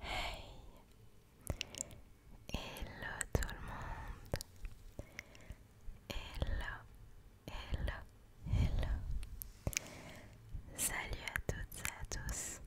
Hey Hello tout le monde Hello Hello Hello Salut à toutes et à tous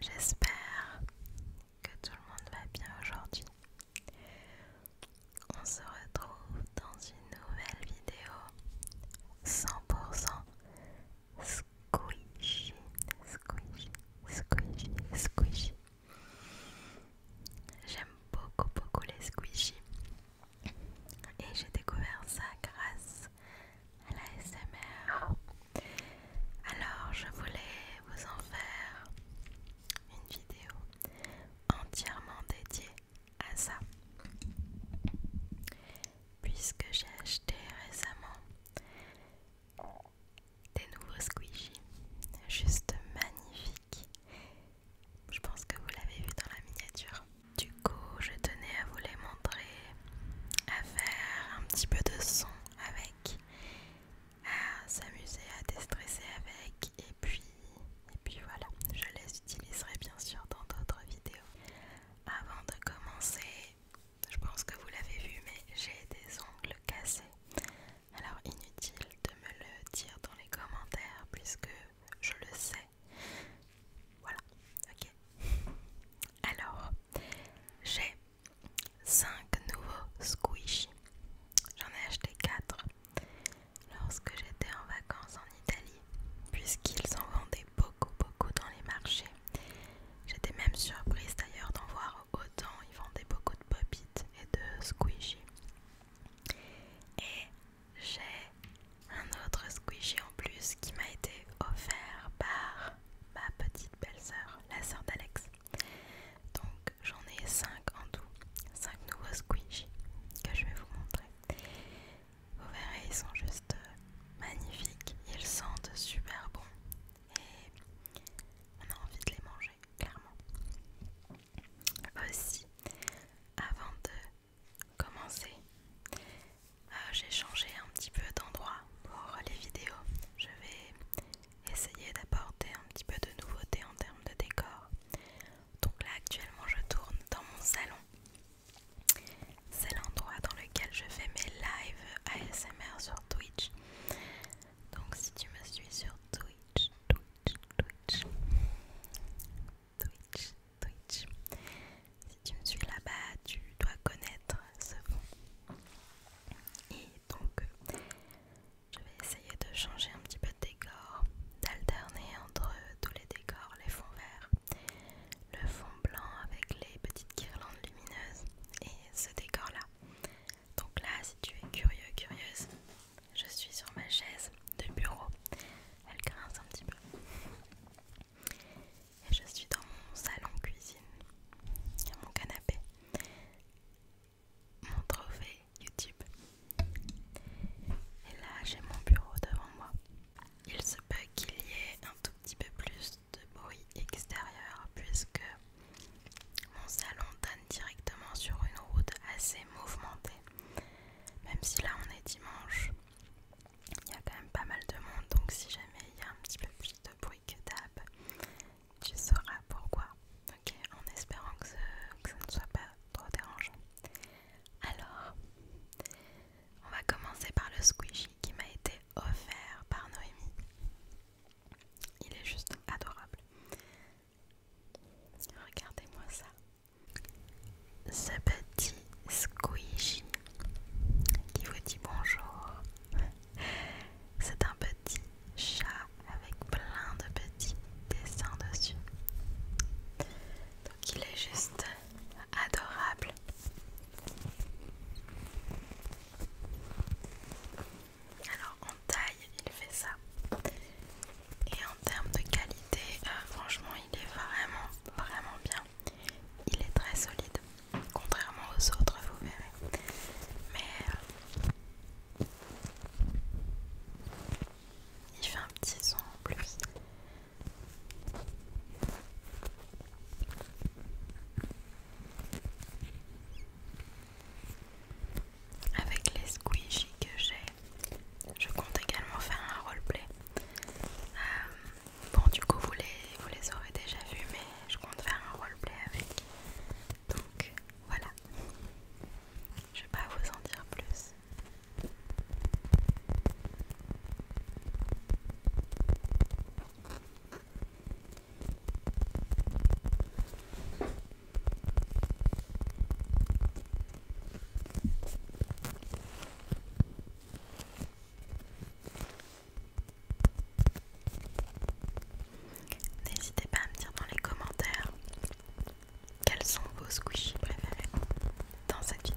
J'espère que tout le monde va bien aujourd'hui on se retrouve dans une nouvelle vidéo 100% squishy, squishy, squishy, squishy. J'aime beaucoup, beaucoup les squishy. Et j'ai découvert ça grâce à la SMR. Alors, je voulais vous en faire une vidéo entièrement dédié à ça. Puisque j'ai acheté récemment des nouveaux squishies, juste magnifiques. Je pense que vous l'avez vu dans la miniature. Du coup, je tenais à vous les montrer, à faire un petit peu de son avec, à s'amuser, à déstresser avec, et puis et puis voilà, je les utiliserai bien sûr dans d'autres vidéos. Avant de commencer, je pense que vous l'avez vu, mais j'ai des ongles cassés. Alors inutile de me le dire dans les commentaires puisque je le sais. Voilà, ok. Alors, j'ai 5 nouveaux squishy. J'en ai acheté 4 lorsque j'étais en vacances en Italie, puisqu'ils en vendaient beaucoup, beaucoup dans les marchés. J'étais même surprise d'ailleurs d'en voir autant, ils vendaient beaucoup de pop et de squishy. Et j'ai un autre squishy en plus qui m'a été offert par ma petite belle-sœur, la sœur d'Alex. Donc j'en ai 5 en tout, 5 nouveaux squishies que je vais vous montrer. Vous verrez, ils sont juste euh, magnifiques, ils sentent super bon et on a envie de les manger, clairement. Aussi, avant de commencer, euh, j'ai changé un petit peu d'endroit pour les vidéos. Je vais essayer d'apporter un petit peu de nouveauté en termes de décor. Donc là actuellement je tourne dans mon salon. C'est l'endroit dans lequel je fais mes lives ASMR sur Twitch. Donc si tu me suis sur Twitch, Twitch, Twitch, Twitch, Twitch, si tu me suis là-bas, tu dois connaître ce fond. Et donc je vais essayer de changer un petit peu de décor, d'alterner entre tous les décors, les fonds verts, le fond blanc avec les petites guirlandes lumineuses et ce décor-là. Donc là, si tu es curieux, curieuse, je suis sur ma chaise de bureau. Elle grince un petit peu. Et je suis dans mon salon cuisine, mon canapé mon trophée YouTube. Et là, j'ai mon bureau devant moi. Il se peut qu'il y ait un tout petit peu plus de bruit extérieur puisque mon salon donne directement sur une route assez mouvementée. Même si là on est dimanche, il y a quand même pas mal de monde donc si jamais il y a un petit peu plus de bruit que d'hab, tu sauras pourquoi. Ok, en espérant que, ça ne soit pas trop dérangeant. Alors, on va commencer par le squishy qui m'a été offert par Noémie. Il est juste adorable. Regardez-moi ça. Ce petit squishy qui vous dit bonjour. C'est un petit chat avec plein de petits dessins dessus. Donc il est juste adorable. Alors en taille, il fait ça. Et en termes de qualité, euh, franchement, il est vraiment, vraiment bien. Il est très solide, contrairement aux autres, vous verrez. Mais euh, il fait un petit son en plus. Avec les squishies que j'ai, je compte également faire un roleplay. Euh, bon, du coup, vous les, vous les aurez déjà vus, mais je compte faire un roleplay avec donc voilà, je vais pas vous en dire plus. N'hésitez pas à me dire dans les commentaires quels sont vos squishies préférés dans cette vidéo.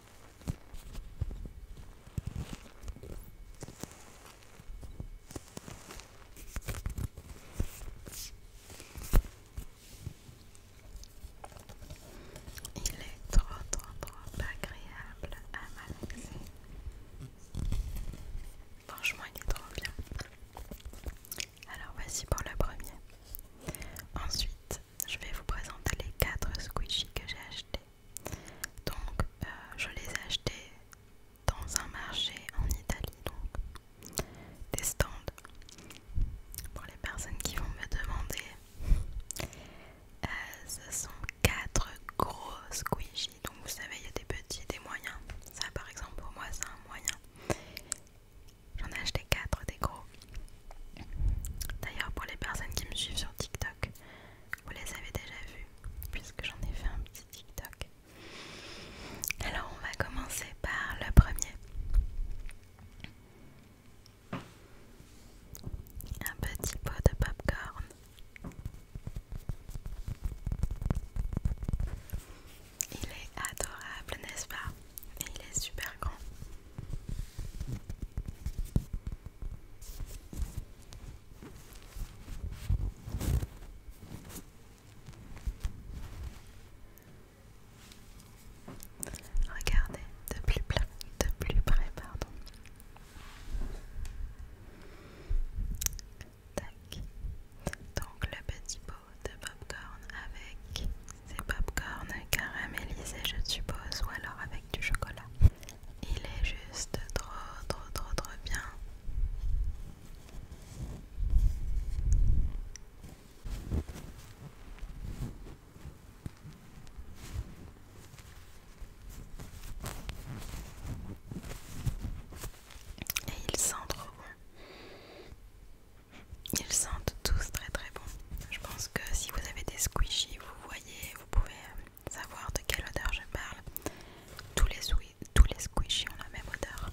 Il est trop trop trop agréable à malaxer. Franchement, il est trop bien. Alors voici pour le premier. Ensuite, je vais vous présenter les quatre squishies que j'ai achetés. Donc euh, je les ai achetés dans un marché en Italie, donc des stands pour les personnes qui vont me demander. Euh, ce sont quatre gros squishies, donc vous savez, il y a des petits, des moyens. Ça, par exemple, pour moi, c'est un moyen. J'en ai acheté quatre des gros. D'ailleurs, pour les personnes qui me suivent sur TikTok, vous les avez déjà vus puisque j'en ai fait un petit TikTok. Alors on va commencer par le premier. Un petit pot de popcorn. Il est adorable, n'est-ce pas Et il est super grand. Regardez de plus, de plus près, pardon. Tac. Donc le petit pot de popcorn avec ces popcorn caramélisés, je suppose, ou alors avec du chocolat. Il est juste trop, trop, trop, trop bien. Et ils sent trop bon. Ils sentent tous très très bon. Je pense que si vous avez des squishies, vous voyez vous pouvez euh, savoir de quelle odeur je parle. Tous les, tous les squishy ont la même odeur.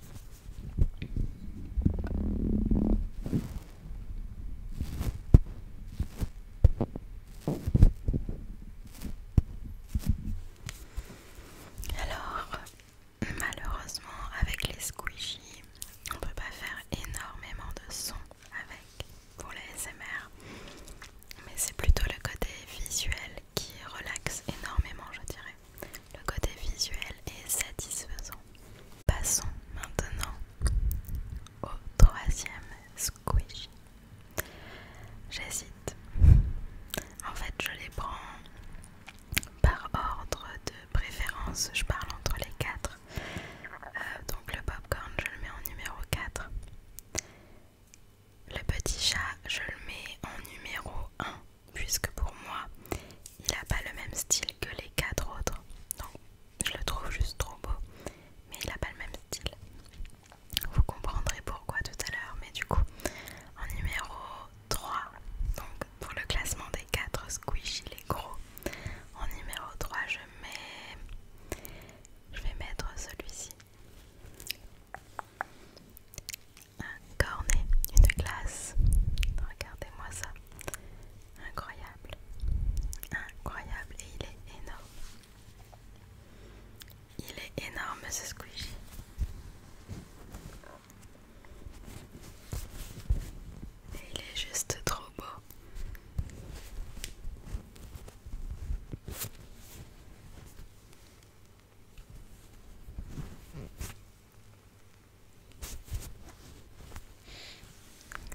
Alors, malheureusement, avec les squishies, on peut pas faire énormément de sons avec pour les SMR, mais c'est plutôt le côté visuel qui relaxe énormément, je dirais. Le côté visuel est satisfaisant. Passons maintenant au troisième squish. J'hésite. En fait, je les prends par ordre de préférence. Je parle entre les quatre. Euh, donc le popcorn, je le mets en numéro 4. Le petit chat, je le mets en numéro 1 puisque pour moi il n'a pas le même style que les quatre autres. Donc je le trouve juste trop beau, mais il n'a pas le même style. Vous comprendrez pourquoi tout à l'heure, mais du coup, en numéro 3, donc pour le classement des 4 squishy les gros, en numéro 3 je mets... Je vais mettre celui-ci un cornet, une glace. Regardez-moi ça. Incroyable. Incroyable. Et il est énorme. Il est énorme ce squishy. Et il est juste trop beau.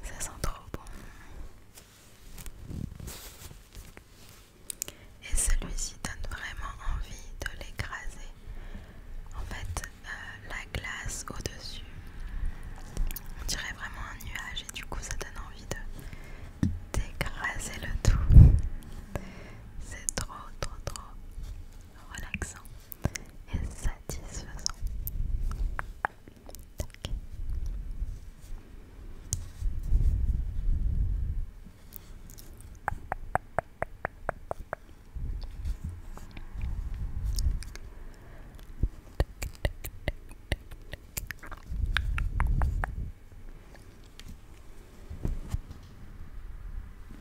Ça sent trop bon. Et celui-ci donne vraiment envie de l'écraser. En fait, euh, la glace au-dessus, on dirait vraiment un nuage et du coup ça donne envie de d'écraser le tout. C'est trop trop trop relaxant. Et satisfaisant.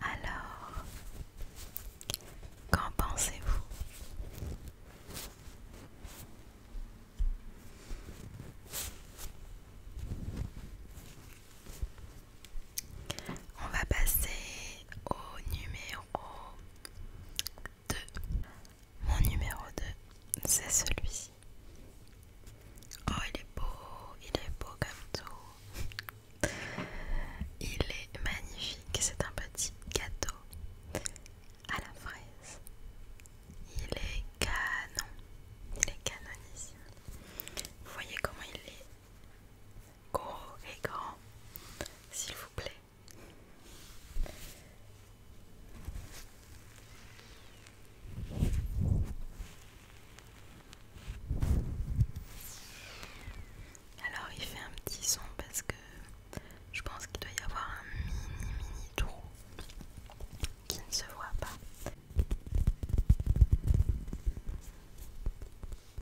Alors, qu'en pensez-vous on va passer au numéro 2. Mon numéro 2, c'est celui-ci. Oh, il est beau, il est beau comme tout. Il est magnifique, c'est un petit gâteau à la fraise. Il est canon, il est canonissime. Vous voyez comment il est Gros et grand, s'il vous plaît. Alors il fait un petit son parce que je pense qu'il doit y avoir un mini mini trou qui ne se voit pas.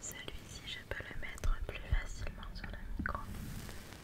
Celui-ci, je peux le mettre plus facilement sur le micro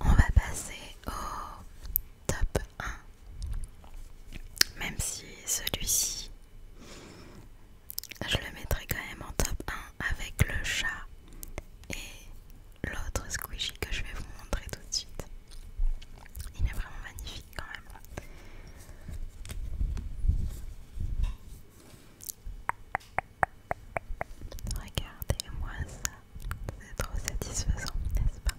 On va passer au top 1. Même si celui-ci, je le mettrai quand même en top 1 avec le chat et l'autre squishy que je vais vous montrer tout de suite. Il est vraiment magnifique quand même. Regardez-moi ça, c'est trop satisfaisant, n'est-ce pas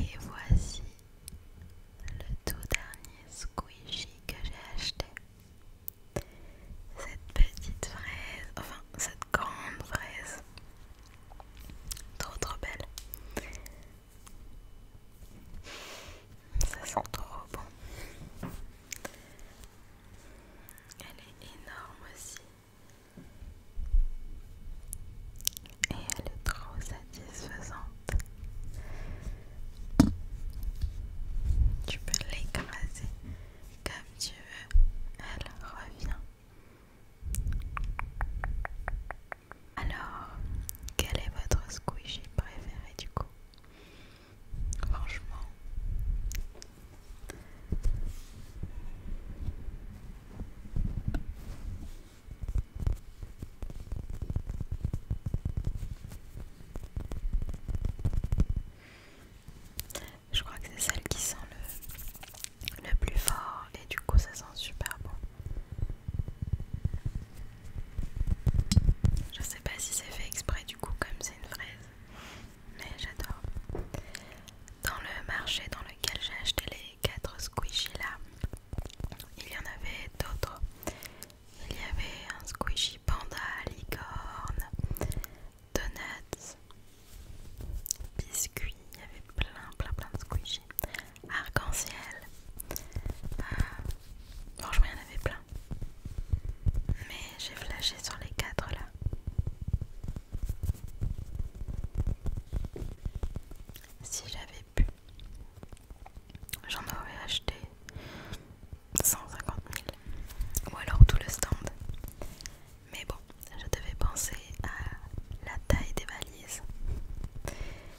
Et voici le tout dernier squishy que j'ai acheté. Cette petite fraise, enfin cette grande fraise, trop trop belle. Ça sent trop bon. Elle est énorme aussi. Et elle est trop satisfaisante. Tu peux l'écraser comme tu veux. Elle revient. Alors, quel est votre squishy préféré du coup Franchement. Je crois que c'est celle qui sent le, le plus fort et du coup ça sent super bon. Je ne sais pas si c'est fait exprès du coup comme c'est une fraise, mais j'adore. Dans le marché dans lequel j'ai acheté les quatre squishies là, il y en avait d'autres. Il y avait un squishy panda, licorne, donuts, biscuits, il y avait plein plein plein de squishies arc-en-ciel. je euh, m'en plein. Mais j'ai flashé sur les quatre là. Si j'avais pu, j'en aurais acheté 150 000 ou alors tout le stand. Mais bon, je devais penser à la taille des valises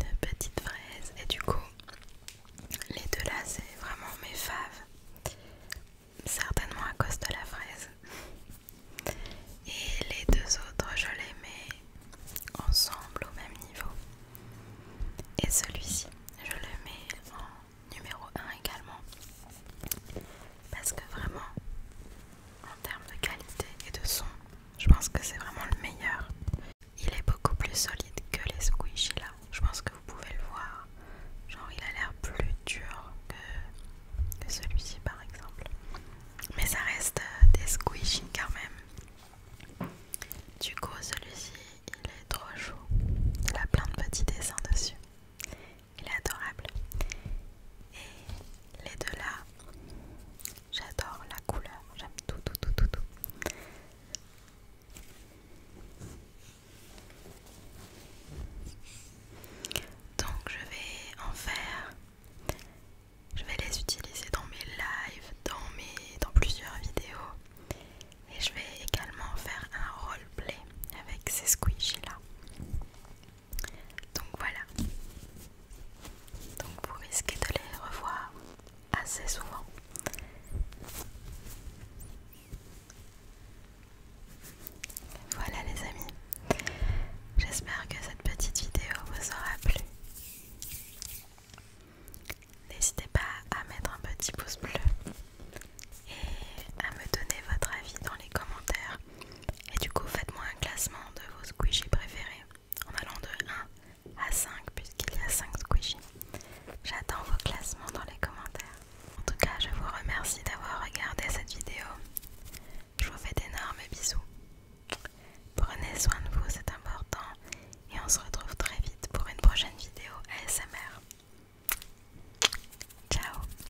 Une petite fraise et du coup les deux là c'est vraiment mes faves certainement à cause de la fraise et les deux autres je les mets ensemble au même niveau et celui-ci je le mets en numéro 1 également parce que vraiment en termes de qualité et de son je pense que c'est vraiment le meilleur il est beaucoup plus solide que les squishy là je pense que vous pouvez le voir genre il a l'air plus dur que, celui-ci par exemple mais ça reste euh, des squishy quand même du coup celui-ci il est trop chaud il a plein de petits dessins dessus il est adorable. Et les deux là, j'adore la couleur, j'aime tout, tout, tout, tout, tout. Donc je vais en faire, je vais les utiliser dans mes lives, dans, mes, dans plusieurs vidéos. Et je vais également faire un roleplay avec ces squishies là. Donc voilà. Donc vous risquez de les revoir assez souvent. Voilà les amis. J'espère que cette petite vidéo vous aura plu. N'hésitez pas à mettre un petit pouce bleu et à me donner votre avis dans les commentaires et du coup, faites-moi un classement de vos squishies préférés en allant de 1 à 5 puisqu'il y a 5 squishies. J'attends vos classements dans les commentaires. En tout cas, je vous remercie d'avoir regardé cette vidéo. Je vous fais d'énormes bisous. Prenez soin de vous, c'est important. Et on se retrouve très vite pour une prochaine vidéo ASMR. Ciao